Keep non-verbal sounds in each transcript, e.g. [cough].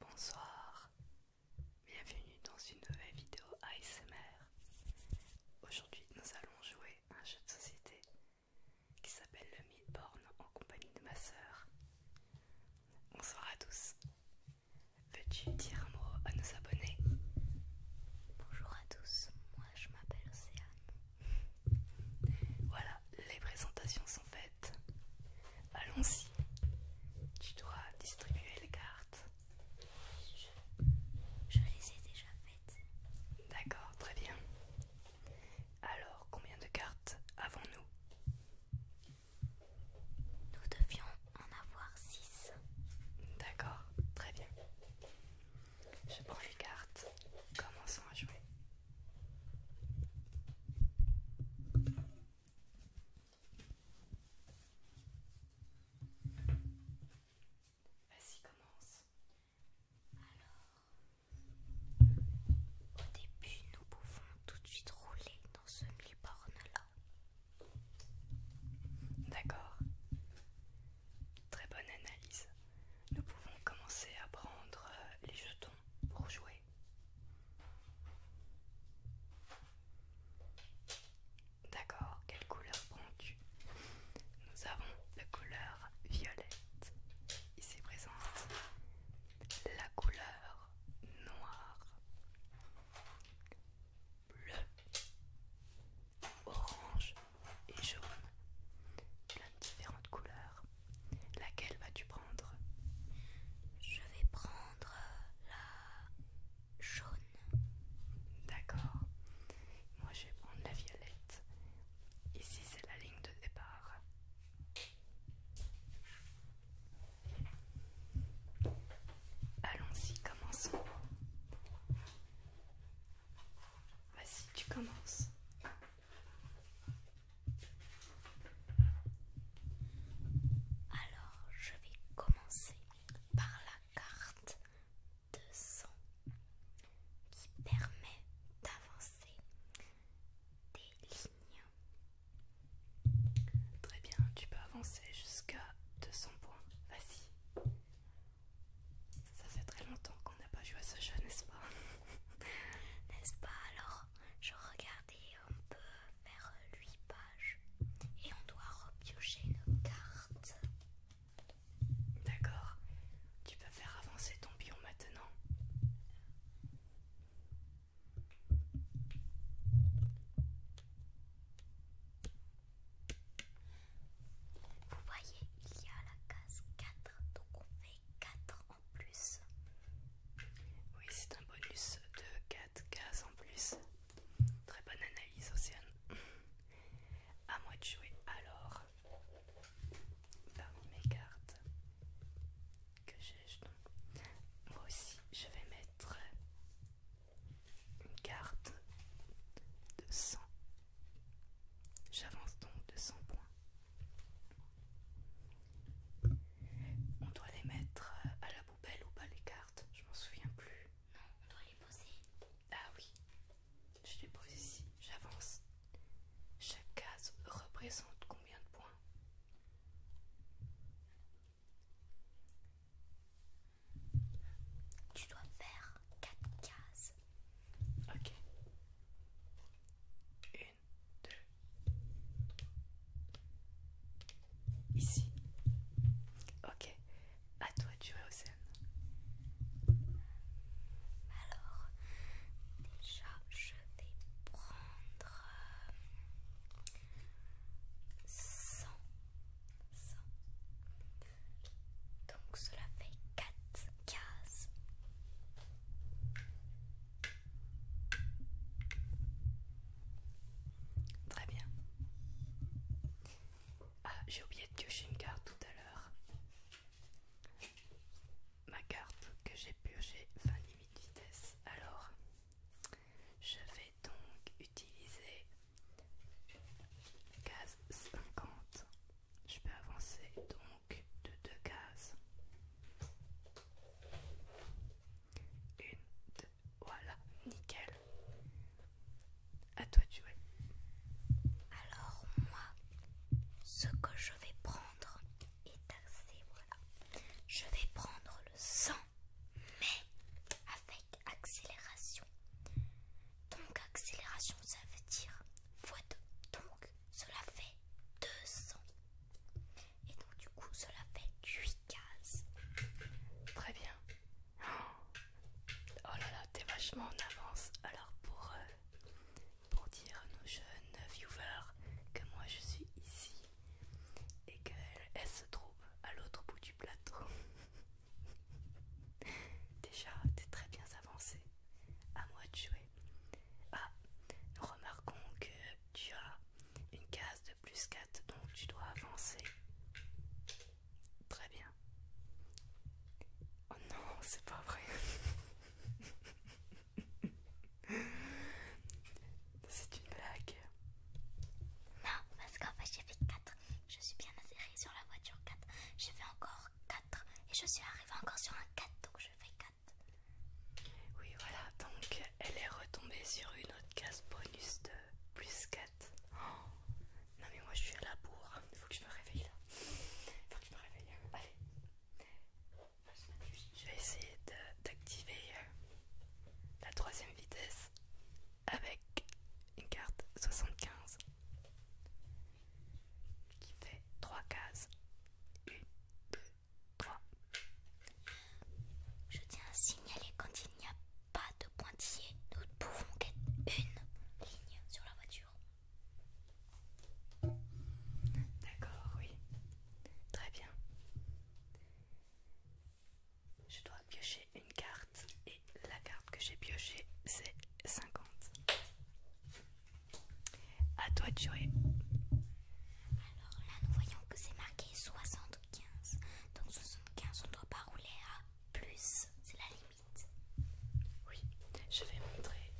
Bonsoir, bienvenue dans une nouvelle vidéo ASMR. Aujourd'hui nous allons jouer un jeu de société qui s'appelle le Midborn en compagnie de ma sœur. Bonsoir à tous, Veux-tu dire un mot à nos abonnés Bonjour à tous, moi je m'appelle Océane. Voilà, les présentations sont faites. Allons-y. Tu dois distribuer les cartes. Je, je les ai déjà faites. D'accord, très bien. Alors, combien de cartes avons-nous Nous devions en avoir 6. D'accord, très bien. Je prends les cartes. Commençons à jouer. Vas-y, commence. Alors, au début, nous pouvons tout de suite rouler dans ce mi borne là. D'accord. Très bonne analyse. Nous pouvons commencer à prendre euh, les jetons pour jouer. D'accord, quelle couleur prends-tu Nous avons la couleur violette ici présente, la couleur noire, bleu, orange et jaune, plein de différentes couleurs. Laquelle vas-tu prendre Je vais prendre la jaune. D'accord. Moi je vais prendre la violette. Ici c'est la ligne de départ. Allons-y, commençons. Vas-y, tu commences. Alors, je vais commencer par la carte de sang qui permet d'avancer des lignes. Très bien, tu peux avancer jusqu'à 200 points. Vas-y. Ça fait très longtemps qu'on n'a pas joué à ce jeu, n'est-ce pas N'est-ce pas Alors, je regardais, on peut faire 8 pages et on doit repiocher nos cartes. D'accord. Tu peux faire avancer ton pion maintenant. Vous voyez, il y a la case 4, donc on fait 4 en plus. Oui, c'est un bonus de 4 cases en plus. Très bonne analyse, Océane. À moi de jouer alors. Parmi mes cartes, que j'ai Moi aussi, je vais mettre une carte de 100. J'avance donc de 100 points. On doit les mettre euh, à la poubelle ou pas les cartes, je m'en souviens plus. Non, on doit les poser. Ah oui, je les pose ici, j'avance. Chaque case représente combien de points tu dois faire 4 cases. Ok. deux, 2. Ici. Ok. À toi, tu es au scène. Alors, déjà, je vais prendre 100 donc cela fait 4 cases. Très bien. Ah, j'ai oublié de piocher une carte tout à l'heure. Ma carte que j'ai piochée fin limite vitesse. Alors, je vais donc utiliser case 50. Je peux avancer donc de deux cases. Une, deux, voilà, nickel. À toi tu jouer. Alors moi, ce que je vais prendre est assez voilà. Je vais prendre le sang, mais avec accélération. Donc accélération, ça veut dire fois Donc cela fait 200. Et donc du coup, cela fait 8 cases. Très bien. Oh là là, t'es vachement en avance. Alors euh, pour, dire à nos jeunes viewers que moi je suis ici et qu'elle se trouve à l'autre bout du plateau. [laughs] [laughs] Déjà, t'es très bien avancé. À moi de jouer. Ah, remarquons que tu as une case de plus 4, donc tu dois avancer. Très bien. Oh non, c'est pas vrai. [laughs] c'est une blague. Non, parce qu'en fait j'ai fait 4 je suis bien atterri sur la voiture 4. J'ai fait encore 4 et je suis arrivée encore sur un 4, donc je fais 4. Oui, voilà, donc elle est retombée sur une autre case bonus de plus 4. non, mais moi je suis à la bourre. Il faut que je me réveille là. Il faut que je me réveille. Allez, je vais essayer d'activer euh, la troisième vitesse avec une carte 75 qui fait 3 cases. 1, 2, 3. Je tiens à signaler quand il n'y a pas de pointier nous ne pouvons qu'être une ligne sur la voiture. D'accord, oui. Très bien. Je dois piocher une carte et la carte que j'ai pioché c'est 50. À toi de jouer. Alors là nous voyons que c'est marqué 75. Donc 75 on ne doit pas rouler à plus, c'est la limite. Oui, je vais montrer.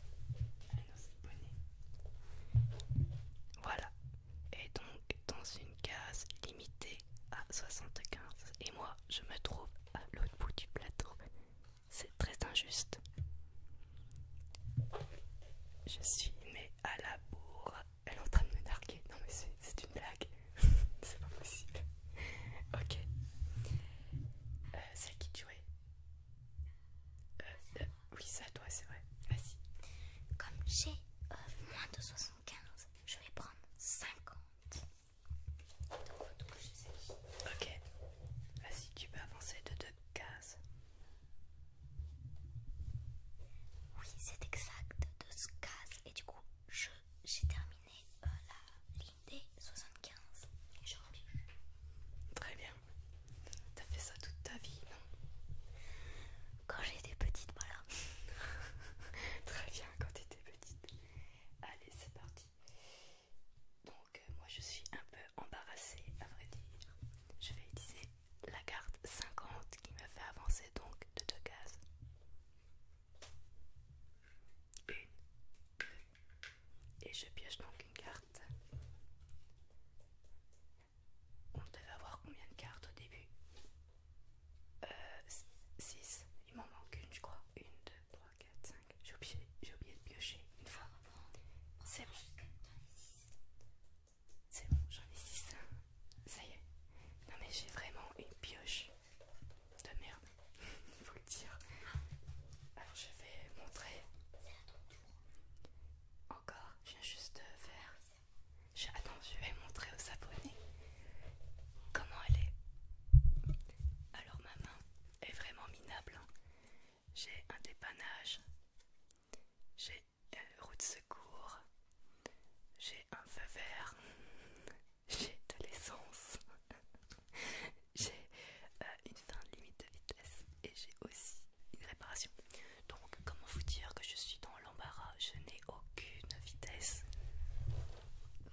à ah nos Voilà. Et donc dans une case limitée à 75 et moi je me trouve à l'autre bout du plateau. C'est très injuste. Je suis mais à la bourre. Elle est en train de me narguer. Non mais c'est une blague. [laughs] c'est pas possible. ok. Euh, celle qui tu euh, euh, Oui, c'est à toi, c'est vrai. Vas-y. Comme j'ai moins de 75, je vais prendre 50. Ok. Vas-y, tu peux avancer de deux cases. Oui, c'est exact, deux cases. Et du coup, j'ai terminé euh, la ligne des 75. Et je reviens. Très bien. T'as fait ça toute ta vie, non Quand j'étais petite, voilà. [laughs] Très bien, quand j'étais petite. Allez, c'est parti. Donc euh, moi je suis un peu embarrassée à vrai dire. Je vais utiliser la carte 50 qui me fait avancer donc de deux cases. Une, Et je pioche donc une carte. On devait avoir combien de cartes au début 6, euh, il m'en manque une je crois, une, deux, trois. 4, 5. J'ai oublié, de piocher une fois. C'est bon. C'est bon, j'en ai 6. Ça y est. Non mais j'ai vraiment une pioche de merde. Il [laughs] faut le dire. Alors je vais montrer. Encore, je viens juste faire. Attends, je vais montrer aux abonnés comment elle est. Alors ma main est vraiment minable. Hein. J'ai un dépannage, j'ai une euh, roue de secours, j'ai un feu vert, [laughs] j'ai de l'essence, [laughs] j'ai euh, une fin limite de vitesse et j'ai aussi une réparation. Donc comment vous dire que je suis dans l'embarras, je n'ai aucune vitesse.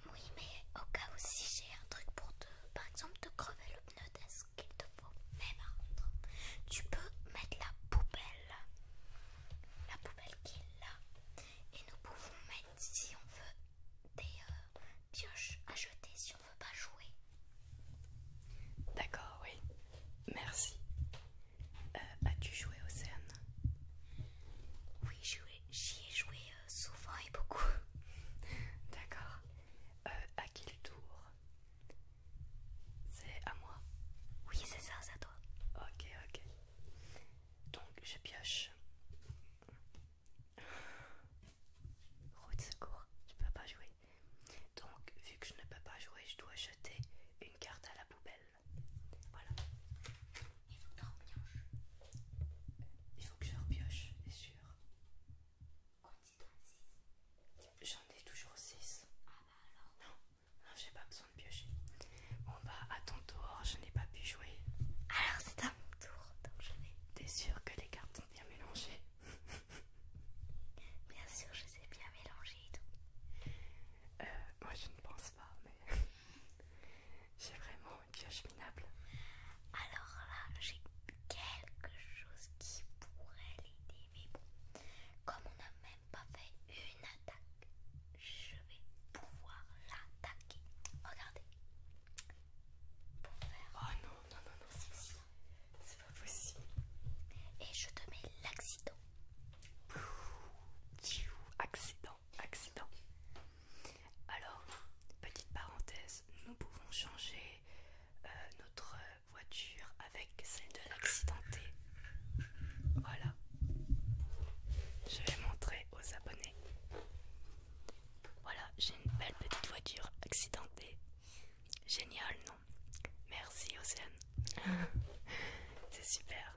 Oui, mais au cas où si j'ai un truc pour te, par exemple, te crever le pneu, est-ce qu'il te faut Mais par contre, tu peux mettre la poubelle, la poubelle qui est là, et nous pouvons mettre, si on veut, des euh, pioches à jeter si on veut pas jouer. D'accord, oui. Merci. Euh, as-tu joué au Océane Oui, j'y ai joué euh, souvent et beaucoup. [laughs] D'accord. Euh, à qui le tour C'est à moi Oui, c'est ça, c'est à toi. Ok, ok. Donc, je pioche. Route secours, je peux pas jouer. Donc, vu que je ne peux pas jouer, je dois jeter une carte à la poubelle. Voilà. Il faut que je repioche. Il faut que je repioche, c'est sûr. J'en ai toujours 6. Ah bah alors Non, j'ai pas besoin de piocher. Bon bah à ton tour, je n'ai pas pu jouer. Alors c'est à mon tour, donc je vais. T'es sûr que les cartes sont bien mélangées Bien sûr, je les ai bien mélangées et tout. Euh, moi je ne pense pas, mais. J'ai vraiment une Alors là, j'ai quelque chose qui pourrait l'aider, mais bon, comme on n'a même pas fait une attaque, je vais pouvoir l'attaquer. Regardez. Oh non, non, non, non, c'est C'est pas possible. Et je te mets l'accident. Accident accident, Alors, petite parenthèse, nous pouvons changer euh, notre euh, voiture avec celle de l'accidenté. Voilà. Je vais montrer aux abonnés. Voilà, j'ai une belle petite voiture accidentée. Génial, non Merci Océane. [laughs] C'est super.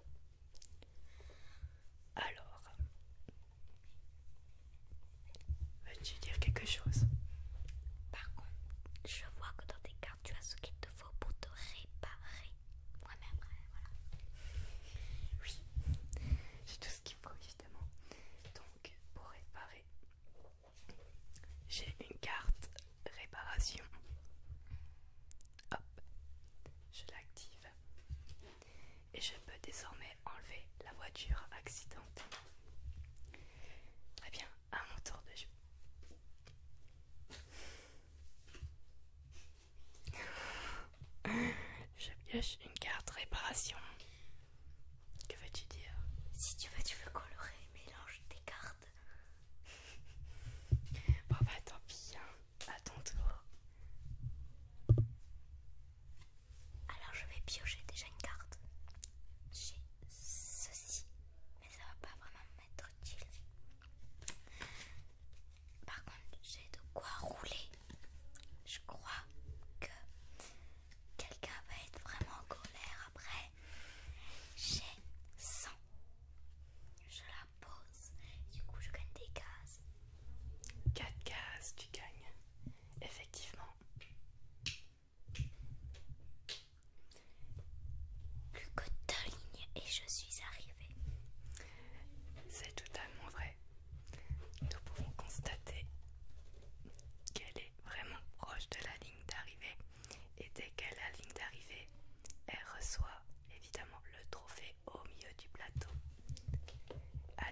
Alors, veux-tu dire quelque chose Par contre, je vois que dans tes cartes, tu as ce qu'il te faut pour te réparer. Moi-même, voilà. Oui, j'ai tout ce qu'il faut, évidemment. Donc, pour réparer, j'ai une carte réparation. Hop, je l'active et je peux désormais enlever la voiture accidentée. Très bien, à mon tour de jeu. [laughs] je pioche une carte réparation. Que veux-tu dire Si tu veux, tu veux colorer, mélange tes cartes. bon bah tant pis, hein. à ton tour. Alors je vais piocher déjà une carte J'ai ceci, mais ça va pas vraiment m'être utile. Par contre, j'ai de quoi rouler. Je crois que quelqu'un va être vraiment en colère après. J'ai 100. Je la pose. Du coup, je gagne des cases. 4 cases, tu gagnes effectivement plus que deux ligne et je suis arrivée c'est totalement vrai nous pouvons constater qu'elle est vraiment proche de la ligne d'arrivée et dès qu'elle est la ligne d'arrivée elle reçoit évidemment le trophée au milieu du plateau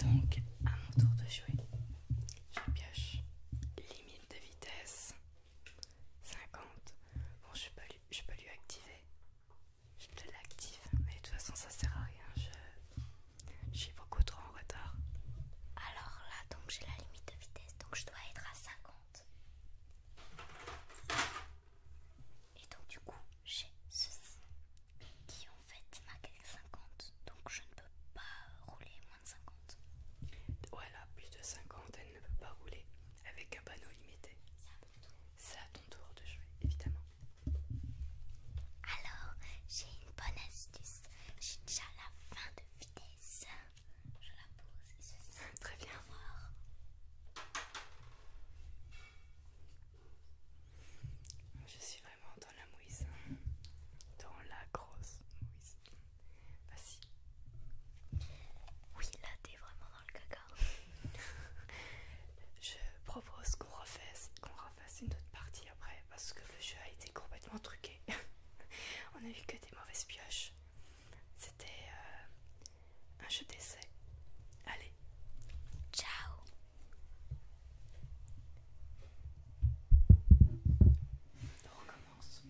Donc, à mon tour de jouer, je pioche limite de vitesse 50. Bon, je peux lui, activer. Je l'active, mais de toute façon, ça sert à rien. Je, j'ai beaucoup trop en retard. Alors là, donc j'ai la limite de vitesse, donc je dois être à 50. Et donc du coup, j'ai ceci qui en fait marque 50, donc je ne peux pas rouler moins de 50. Voilà, plus de 50, elle ne peut pas rouler avec un panneau limité. C'est à ton tour de jouer, évidemment. Alors, j'ai une bonne astuce. J'ai déjà la fin de vitesse. Je la pose et je très bien Je suis vraiment dans la mouise. Hein. Dans la grosse mouise. Vas-y. Oui, là t'es vraiment dans le caca. [laughs] Je propose qu'on refasse, qu'on refasse une autre partie après parce que le jeu a été complètement truqué. [laughs] On a eu que des mauvaises pioches. C'était euh, un jeu d'essai. Allez, ciao On recommence.